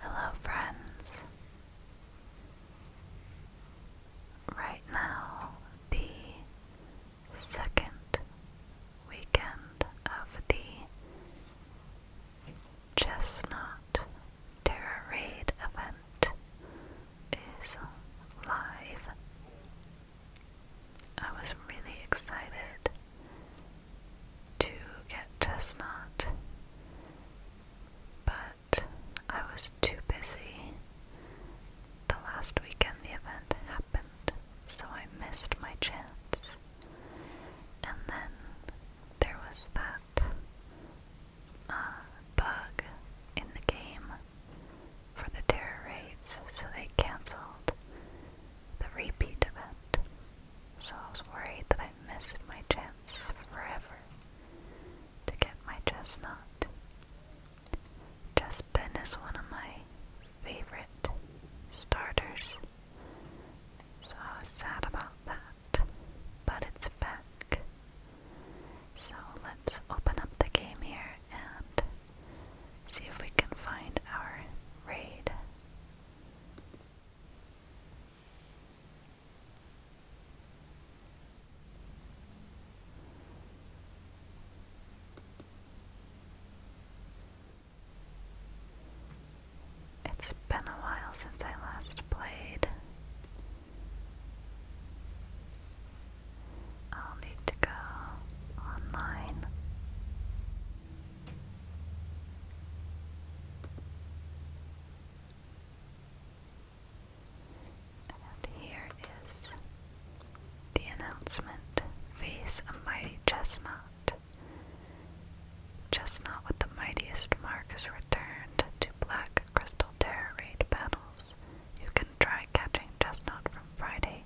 Hello, friends. Right now, the second weekend of the Chestnut Terror Raid event is live. I was really excited to get dressed, chestnut, but I was too busy. The last weekend the event happened, so I missed my chance. And then there was that uh, bug in the game for the terror raids, so they cancelled the repeat event so I was worried that I missed my chance forever to get my chestnut. Chespin is one of my favorite starters, so I was sad about that, but it's back. So let's open up the game here and see if we can find our raid. It's been a while since I last played. I'll need to go online. And here is the announcement Face a mighty chestnut. Chestnut with the mightiest mark is returned to Black Crystal Terror Raid battles. You can try catching Chestnut from Friday,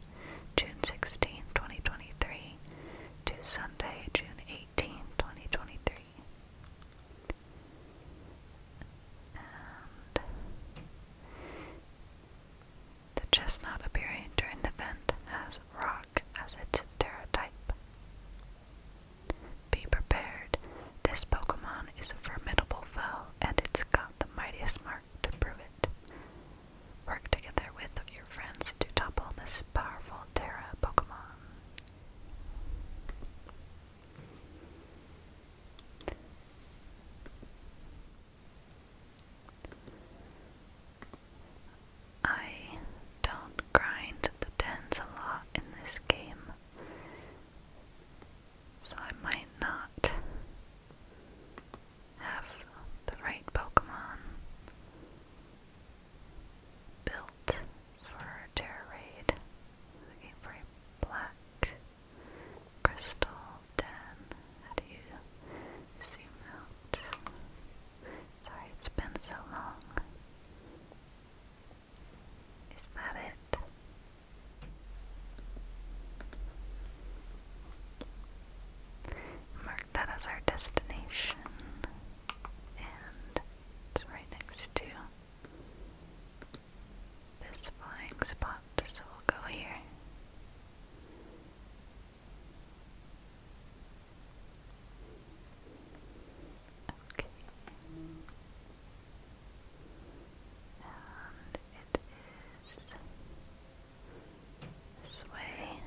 June 16, 2023, to Sunday, June 18, 2023. And appearing during the event has rock as its pterotype. Be prepared. This Pokemon is a formidable foe and it's got the mightiest mark to prove it. Work together with your friends to topple this powerful Terra Pokemon. I don't grind the tens a lot in this game, so I might not have the right Pokemon built for a terror raid. Looking for a black crystal den. How you zoom out? Sorry, it's been so long. Is that it? mark that as our destination. And it's right next to this flying spot, so we'll go here. Okay. And it is this way.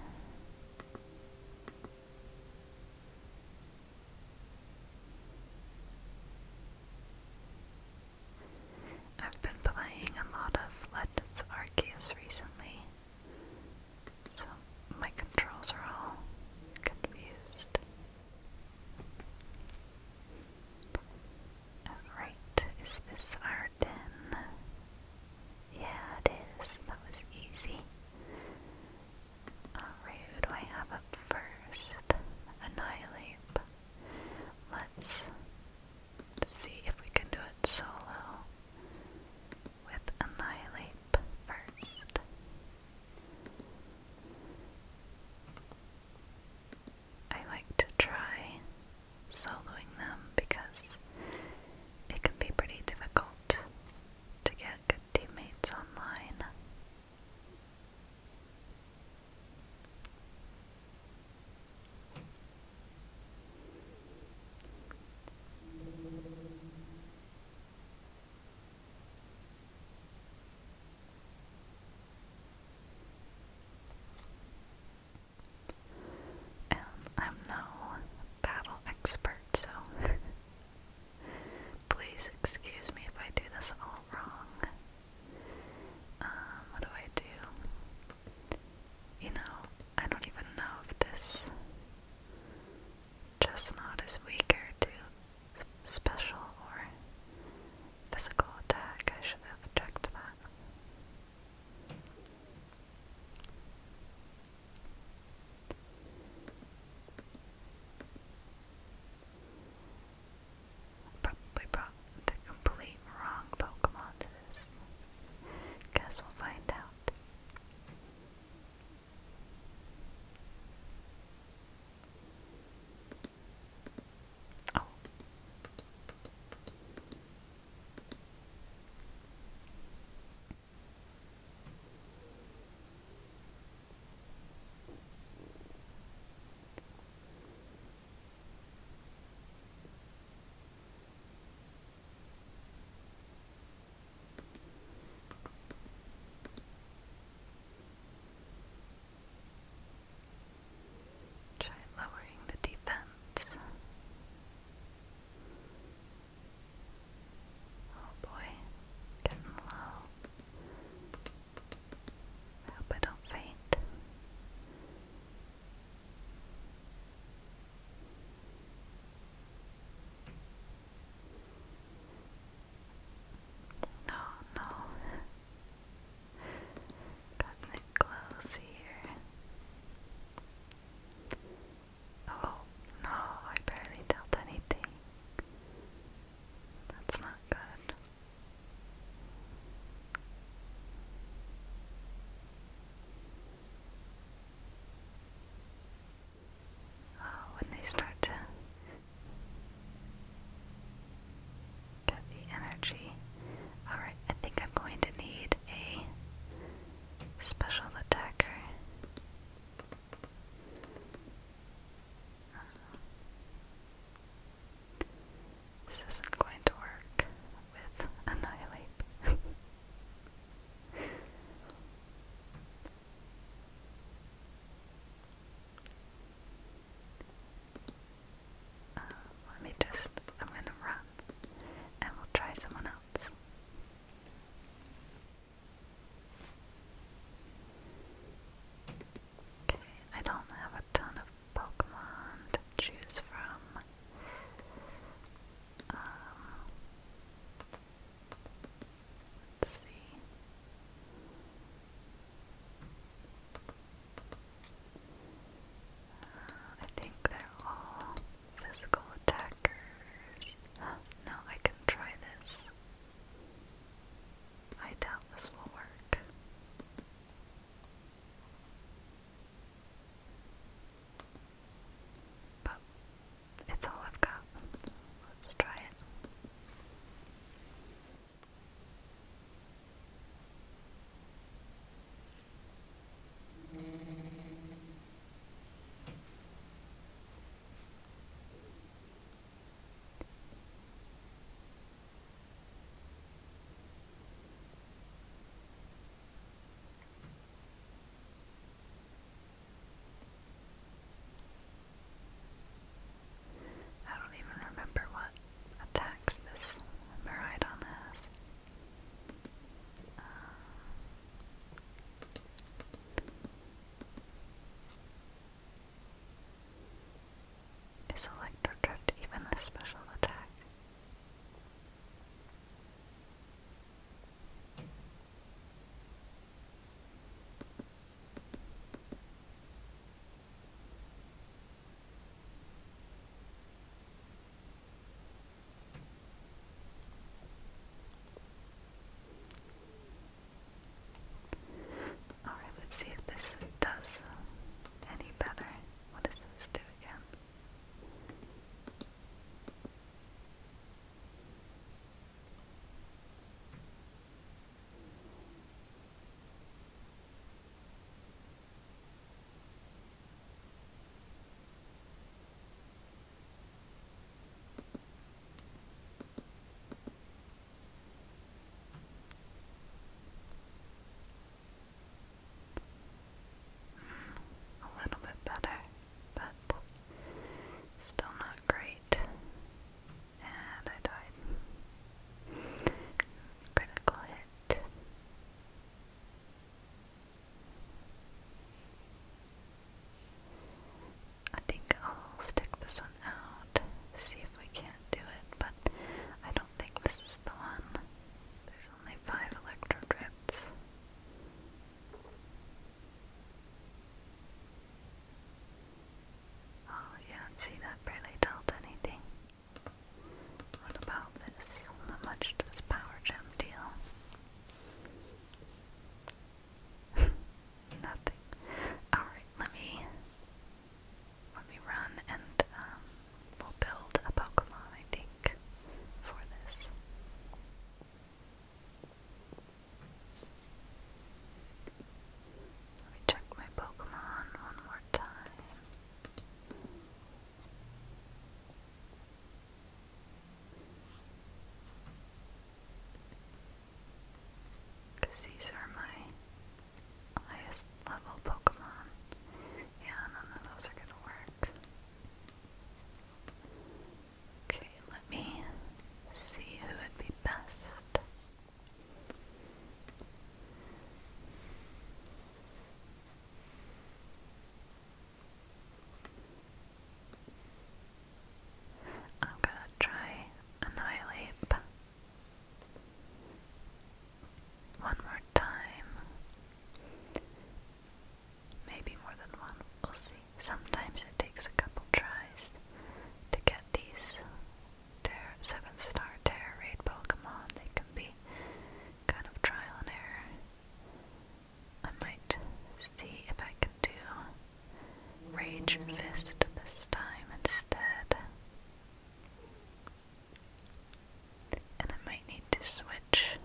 I've been playing a lot of Legends Arceus recently, so my controls are all confused. Right, is this our den? Yeah, it is. That was easy. Alright, who do I have up first? Annihilate. Let's see if we can do it solo with Annihilate first. I like to try soloing them because it can be pretty difficult to get good teammates online. And I'm no battle expert, so Please excuse me if I do this all wrong. Um, what do I do? You know, I don't even know if this chestnut is weaker to special or physical attack. I should have checked that. Probably brought the complete wrong Pokemon to this. Guess we'll find out. Oh. Try lowering the defense. Oh boy, getting low. I hope I don't faint. No, no. Gotten it close here. Oh no, I barely dealt anything. That's not good. Oh, when they start to get the energy. Alright, I think I'm going to need a special attacker. This isn't going to work with Annihilate. Uh, let me just, I'm gonna run and we'll try someone else. Okay, I don't have a ton of Pokemon to choose from. Um, let's see. Uh, I think they're all Physical attackers. No, I can try this. I doubt this will work. But it's all I've got. Let's try it. I don't even remember what attacks this Meridon has. Um, is Electrodrift even a special attack? Alright, let's see if this does any better. What does this do again? A little bit better, but still not great. And I died. Critical hit. I think I'll stick this one out, see if we can't do it, but I don't think this is the one. There's only five electrodrips. Oh yeah, see that barely dealt anything. What about this? How much does power gem deal? Nothing. Alright, let me let me run and um, we'll build a Pokemon I think for this. Let me check my Pokemon one more time. Because these are my highest level Pokemon. Yeah, none of those are going to work. Okay, let me see who would be best. I'm gonna try annihilate one more time. Maybe more than one, we'll see. Sometimes it takes a couple tries to get these terror, seven star terror raid Pokemon. They can be kind of trial and error. I might see if I can do Rage Fist this time instead. And I might need to switch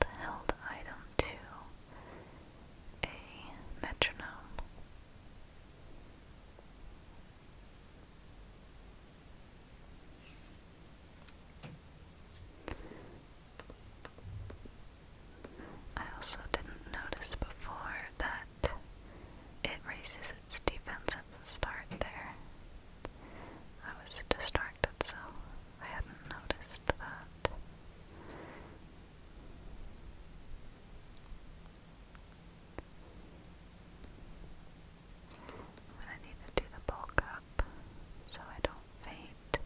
the held item to a metronome. I also didn't notice before that it raises its defense at the start there. I was distracted, so I hadn't noticed that. I need to do the bulk up so I don't faint.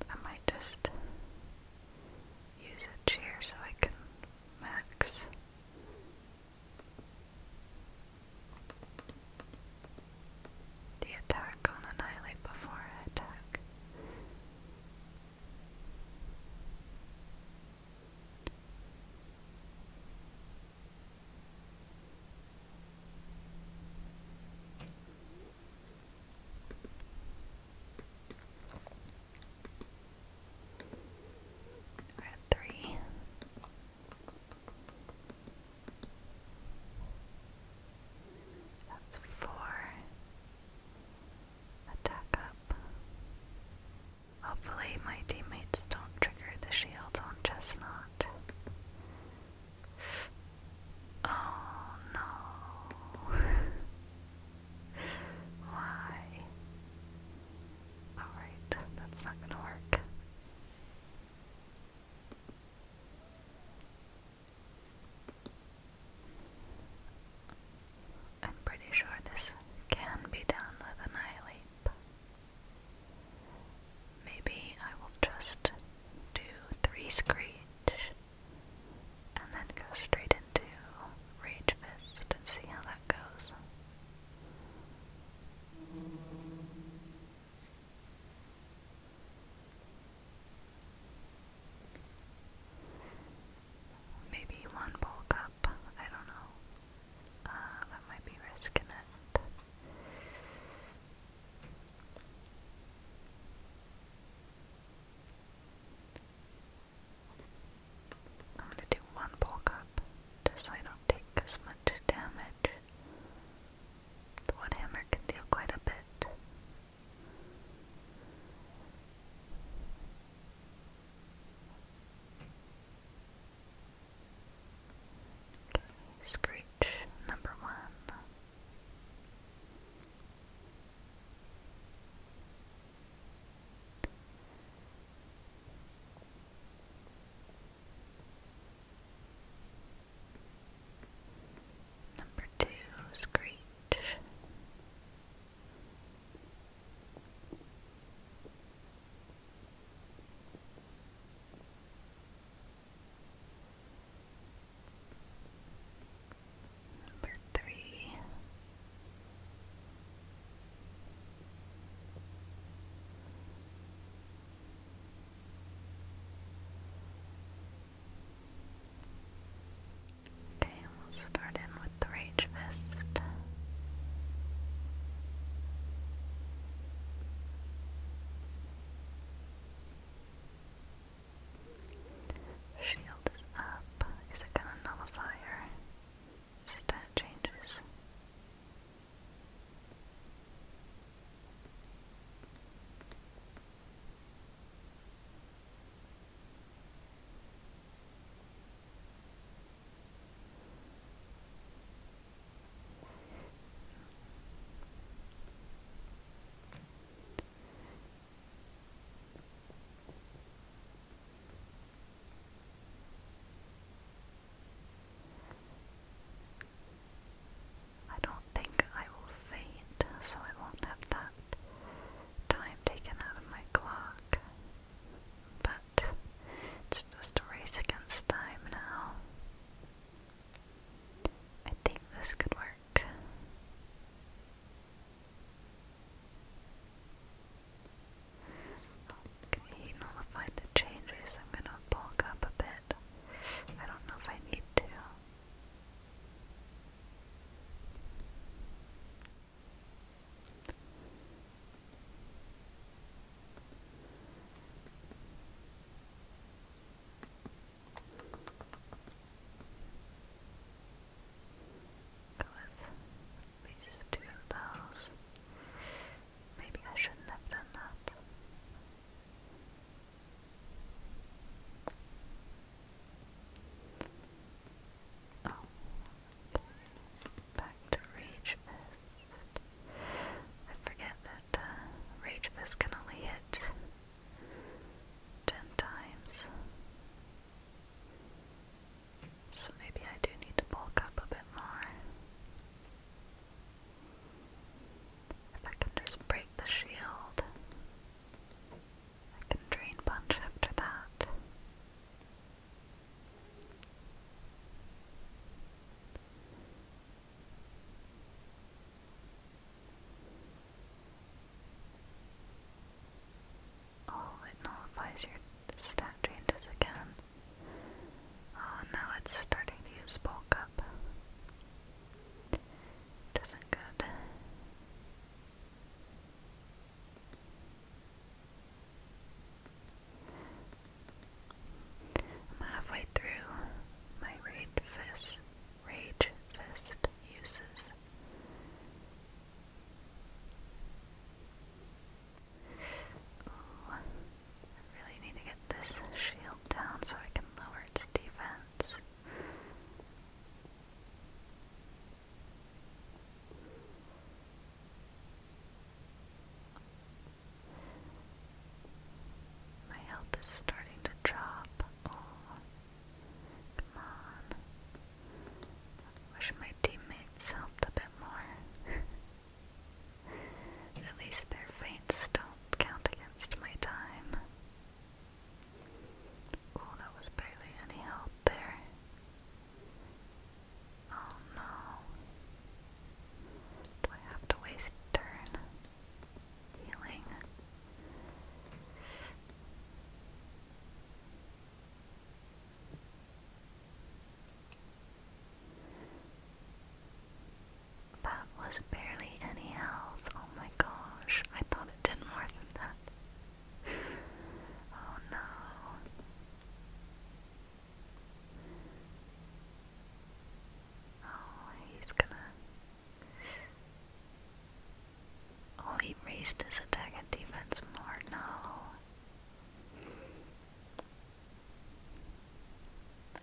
And I might just Use usage here so I can max. The attack on Annihilate before attack we three. That's four. Attack up. Hopefully, my teammates don't trigger the shields on Chestnut. Oh no. Why? Alright, that's not gonna work. I'm pretty sure this can be done with an eye leap. Maybe I will just do three screech and then go straight into Rage Fist and see how that goes. Maybe one bulk up, I don't know. Uh, that might be risking it. I'm gonna do one bulk up, just so not take as much damage. The wood hammer can deal quite a bit. Okay, Screech number one. Number two, Screech. Number three. Okay, we'll start in with the Rage Fist. Shield is up. Is it gonna nullify her? Stat changes. I don't think I will faint, so I won't have that time taken out of my clock. But it's just a race against time now. I think this could work. Okay, nullified the changes. I'm gonna bulk up a bit. I don't know if I need to. Go with these two of those. Maybe I shouldn't have done that. Oh, back to Rage I forget that uh, can only hit ten times. So maybe I do need to bulk up a bit more. If I can just break the shield, I can drain punch after that. Oh, it nullifies your stat changes again. Oh, now it's starting to bulk up. It isn't good. I'm halfway through my rage fist, rage fist uses. Ooh, I really need to get this shield down so I can lower its defense. My health is starting to drop. Oh. Come on. Wish my teammates helped a bit more. At least their feints don't count against my time. Oh, that was barely any help there. Oh no. Do I have to waste turn? Healing. That was barely any health. Oh my gosh, I thought it did more than that. oh no. Oh, he's gonna. Oh, he raised his attack and defense more. No.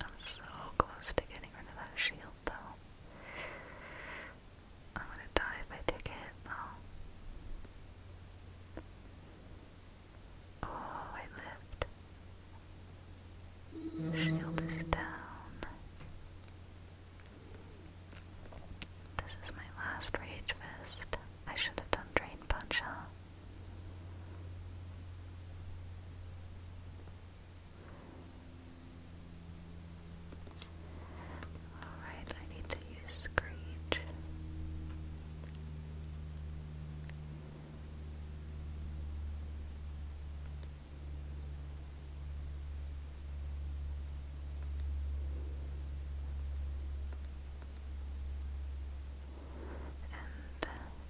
I'm so close to getting rid of that shield, though. I'm gonna die if I take it. No. Oh, I lived. Shield is down. This is my last Rage Fist. I should have done Drain Punch, Alright, I need to use Screech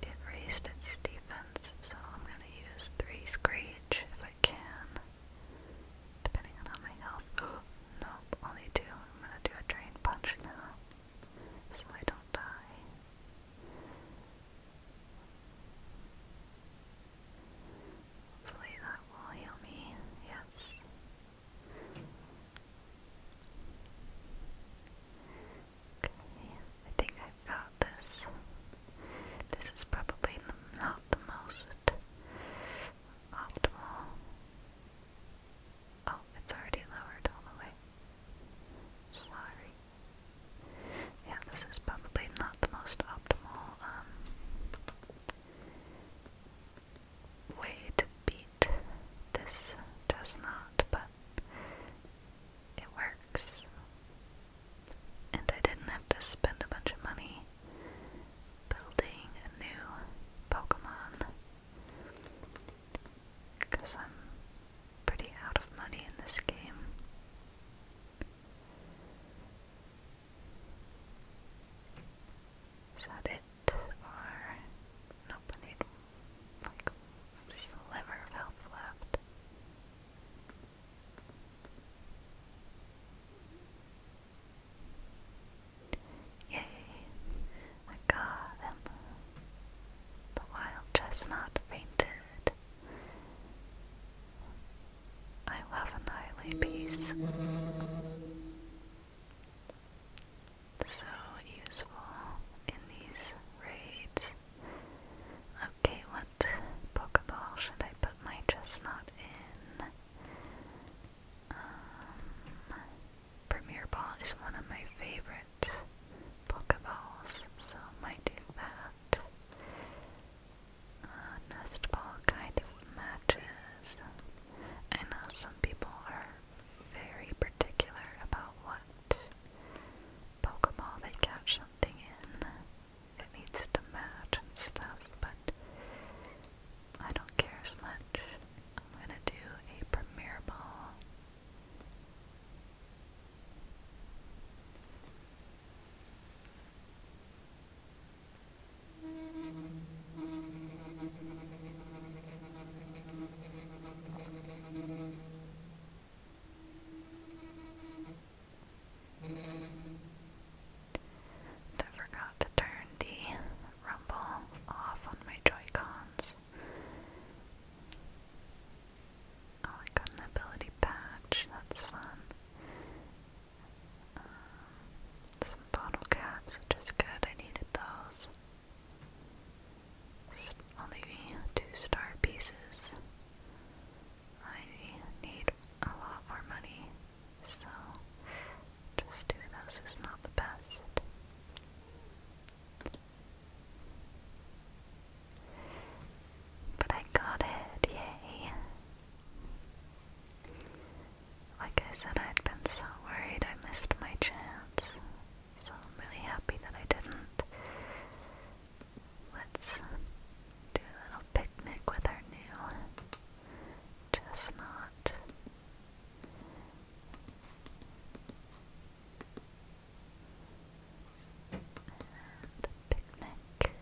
it raised its defense, so I'm going to use 3 Screech if I can. Depending on how my health. Oh, only 2. I'm going to do a Drain Punch now, so I don't die. Hopefully that will heal me. Yes. Okay, I think I've got this. This is probably not the most optimal. Oh, it's already lowered all the way. Sorry. Yeah, this is probably not the most optimal um, way to beat this does not, but it works. And I didn't have to spend a bunch of money building a new Pokemon because I'm pretty out of money in this game. Is it? Or nope, I like a sliver of left. Yay! I got him. The wild chestnut fainted. I love an highly piece. So useful in these raids. Okay, what Pokeball should I put my chestnut in? Um, Premier Ball is one of my favorite Pokeballs, so might do that. Uh, nest Ball kind of matches I know some people are very particular about what Pokeball they catch something in. It needs to match and stuff, but I don't care as much. I'm gonna do a premier ball. I forgot to turn the rumble off on my joy Oh, I got an ability patch, that's fun some bottle caps, which good. I needed those. only two star pieces. I need a lot more money, so just doing those is not the best. But I got it, yay! Like I said, I'd been so worried I missed my chance, so I'm really happy that I didn't. Let's do a little picnic with our new chestnut. picnic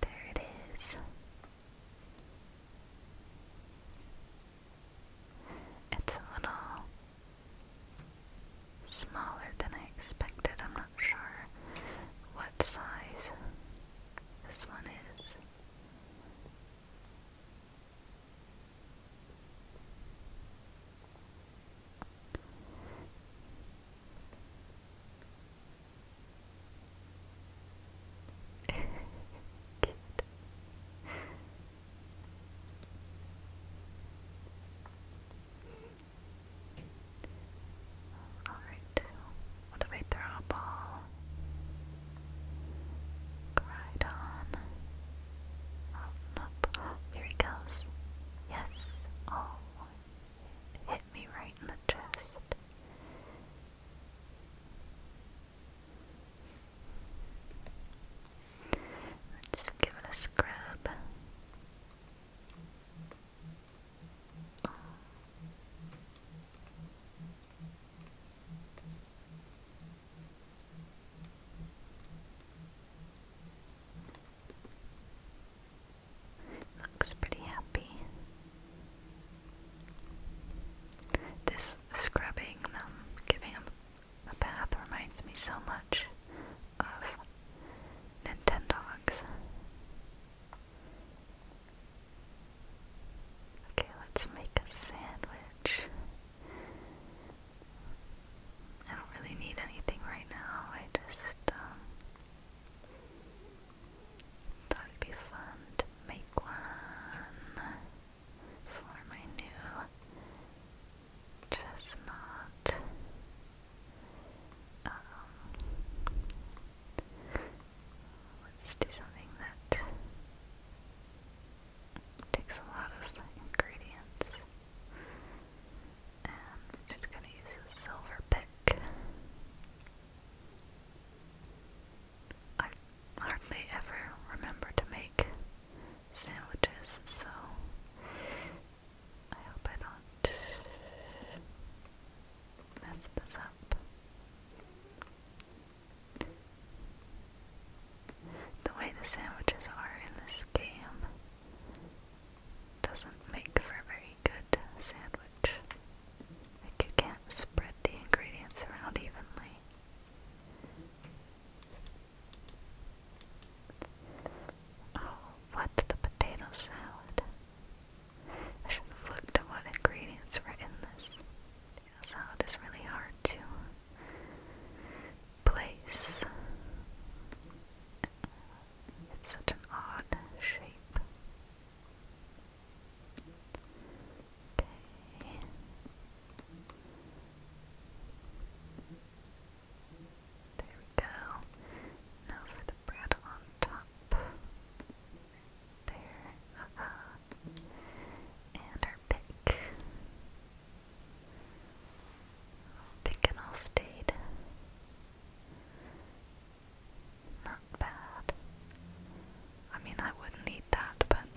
there it is. It's a little smaller than I expected. I'm not sure what size this one is. All right. What if I throw a ball? Cried on. Up. Here he goes. Yes. Oh. hit me right in the chest. Let's give it a scrub. Looks pretty happy. This scrubbing them, um, giving them a bath reminds me so much of Nintendogs. Okay, let's make a sandwich. I don't really need anything right now. I just um, thought it'd be fun to make one for my new chestnut. Um, let's do something that takes a lot of ingredients. I'm just going to use a silver pick. I hardly ever remember to make sandwiches, so I hope I don't mess this up. The way the sandwiches are in this game doesn't make for a very good sandwich. Like you can't spread the ingredients around evenly. Oh, what's the potato salad? I should have looked at what ingredients were in this. Potato salad is really hard to place. It's such an odd shape. Okay. There we go. Now for the bread on top. There. Uh And our pick. Thinking I'll stayed. Not bad. I mean, I wouldn't eat that, but.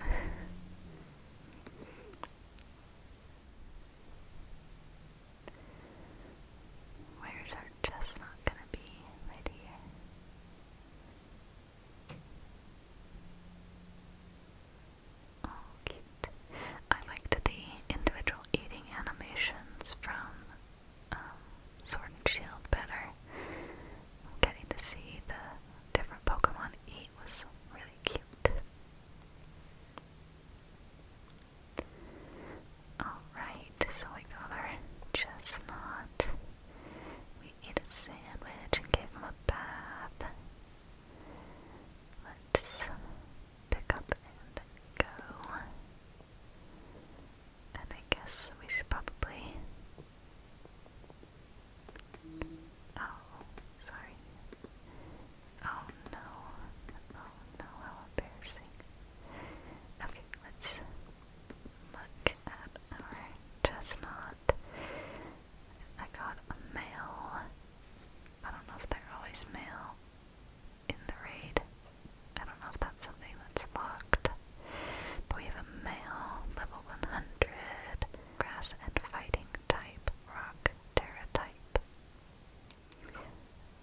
Where's our chestnut gonna be? Right here. Oh, cute. I liked the individual eating animations from um, Sword and Shield better. Getting to see the different Pokemon eat was really cute. Alright, so we got our chestnut. We ate a sandwich and gave him a bath. Let's pick up and go. And I guess we should probably. Oh, sorry. Oh no. Oh no, how embarrassing. Okay, let's look at our chestnut. I got a male I don't know if they're always male in the raid. I don't know if that's something that's locked. But we have a male, level 100, grass and fighting type, rock, terra type.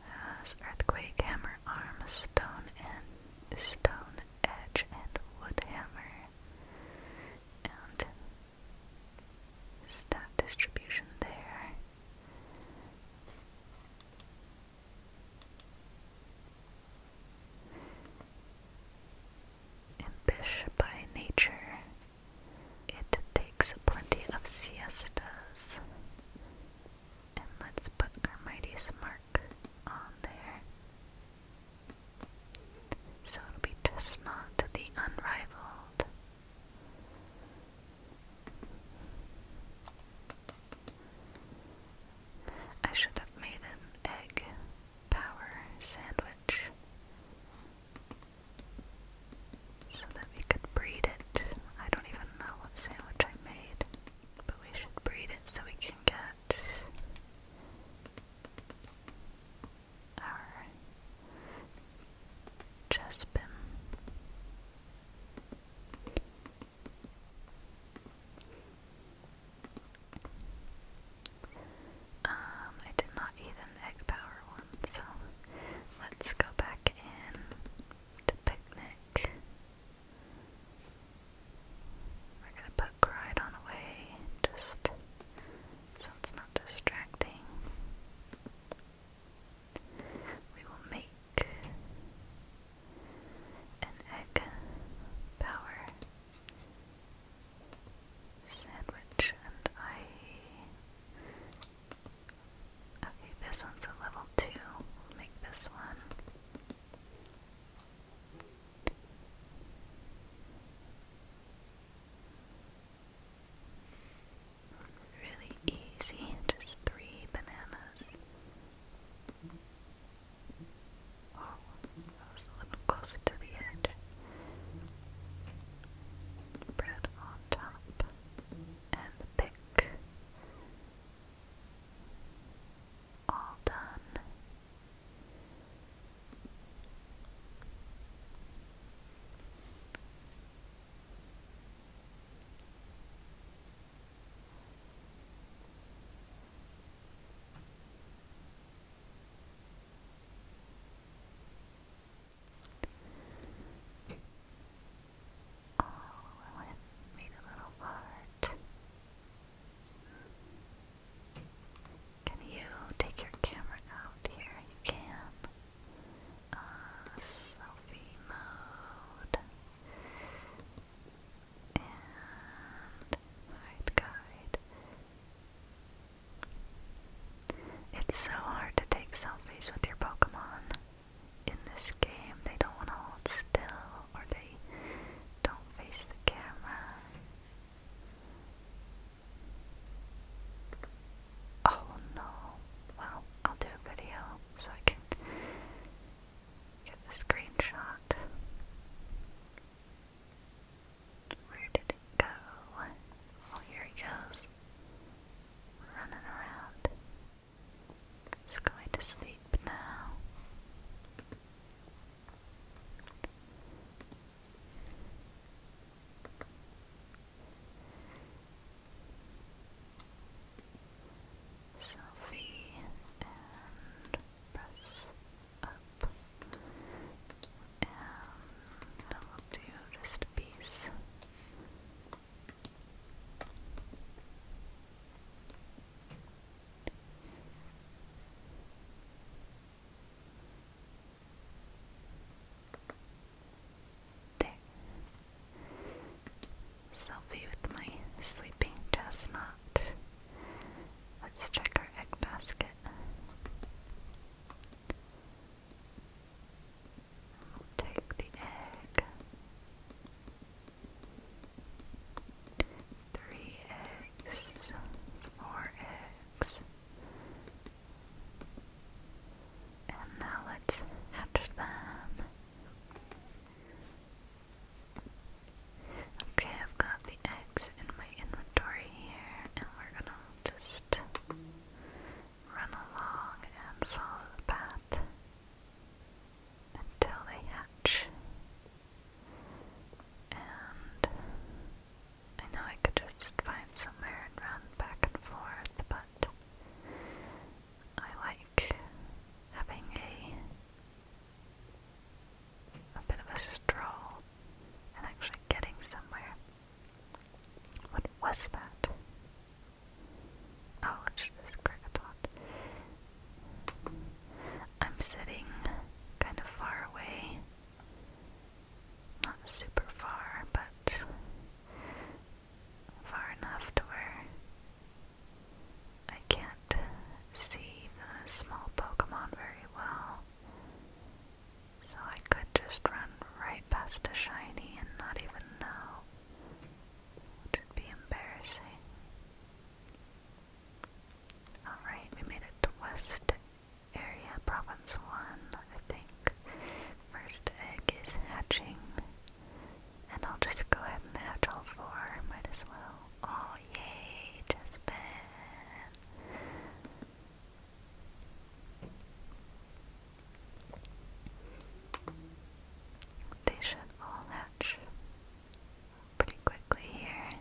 Has earthquake, hammer arm, stone and stone edge, and wood hammer. And stat distribution there. Impish by nature, it takes plenty of siestas. And let's put our mightiest mark on there. So it'll be Chestnut the Unrivaled I should have made an egg power sandwich so that we could breed it. I don't even know what sandwich I made, but we should breed it so we can get our Chespin. Um, I did not eat an egg power one, so let's go back in to picnic. We're gonna put cried on away just so it's not distracting we will make an egg power sandwich and I Okay, this one's a level 2 make this one. Really easy, just three bananas. Oh, a little closer to the edge. Bread on top, and the pick. All done. Oh, I went made a little part. Can you take your camera out here? You can selfie mode, and guide. It's so hard to take selfies with your Pokemon. In this game, they don't want to hold still or they don't face the camera. Oh no. Well, I'll do a video so I can get the screenshot. Where did it go? Oh, here he goes. Running around. He's going to sleep now. Selfie and press up. And I will do just a there. Selfie with my sleeping chestnut. Let's check our egg basket. take the egg. Three eggs, four eggs, and now let's hatch them. Okay, I've got the eggs in my inventory here, and we're gonna just run along and follow the path until they hatch. And I know I could just find somewhere and run back and forth, but I like having a a bit of a stroll and actually getting somewhere. What was that? Oh, it's just cricket thought. I'm sitting kind of far away. Not super far, but far enough to where I can't see the small Pokemon very well. So I could just run right past a shiny and not even know, which would be embarrassing. Alright, we made it to West Area Province 1, I think first egg is hatching. And I'll just go ahead and hatch all four. Might as well. Oh, yay, Jasmine. They should all hatch pretty quickly here.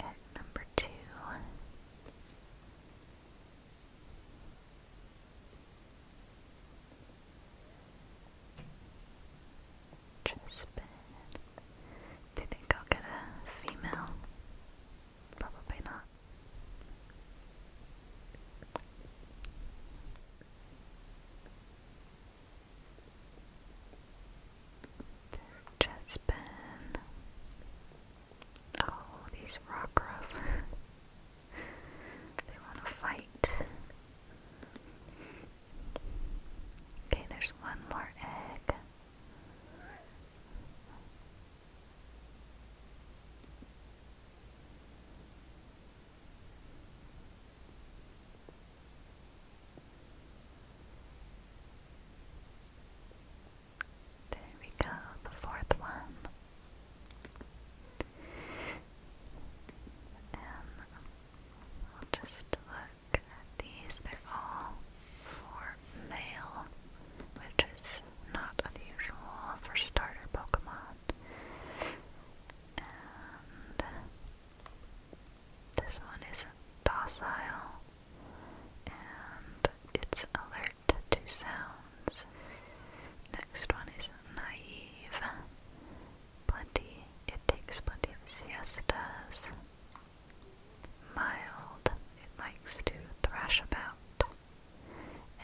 At number two. Trispan. Do you think I'll get a female? Probably not. Trispan. Oh, these Rockruff. they want to fight. Okay, there's one more egg. There we go, the fourth one. And we'll just look at these. They're all for male, which is not unusual for starter Pokemon. And this one is docile and it's alert to sounds. Next one is naive. Plenty, it takes plenty of siestas. Mild, it likes to thrash about.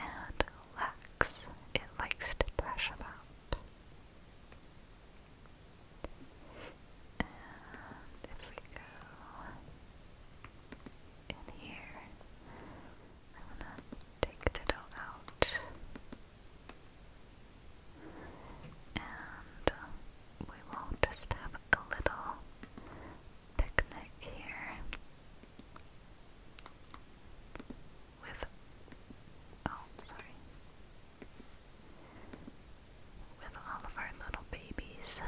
And lax, it likes to thrash about. And if we go in here. I'm gonna take it all out. And uh, we will just have a little picnic here with oh sorry with all of our little babies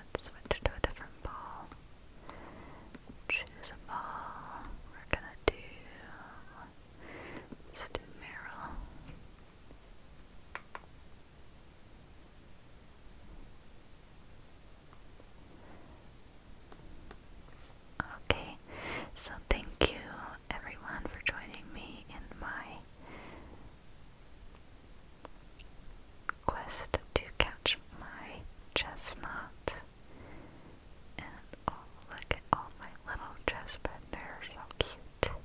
Let's switch to a different ball. Choose a ball. We're gonna do. Let's do Meryl. Okay, so thank you everyone for joining me in my quest to catch my chestnut. And oh, look at all my little chestnut, they so cute.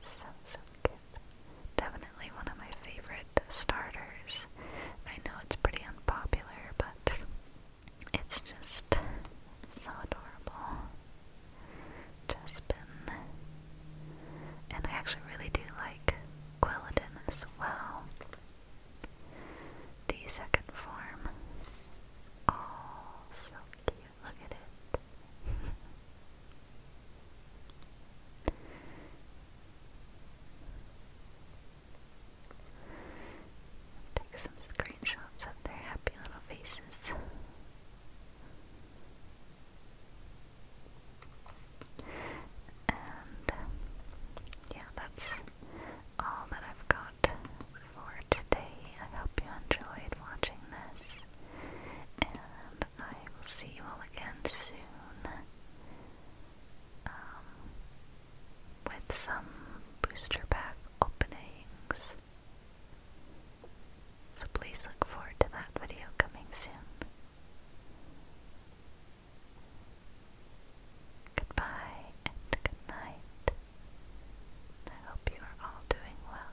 So, so good. Definitely one of my favorite starters. I know it's pretty unpopular, but it's just so adorable. Jespin. And I actually really do like Quilladin as well. The second form. Oh, so cute look at it. Take some screenshots of their happy little faces. And yeah, that's all that I've got for today. I hope you enjoyed watching this. Um, I will see you all again soon. Um, with some booster pack openings. So please look forward to that video coming soon. Goodbye and good night. I hope you are all doing well.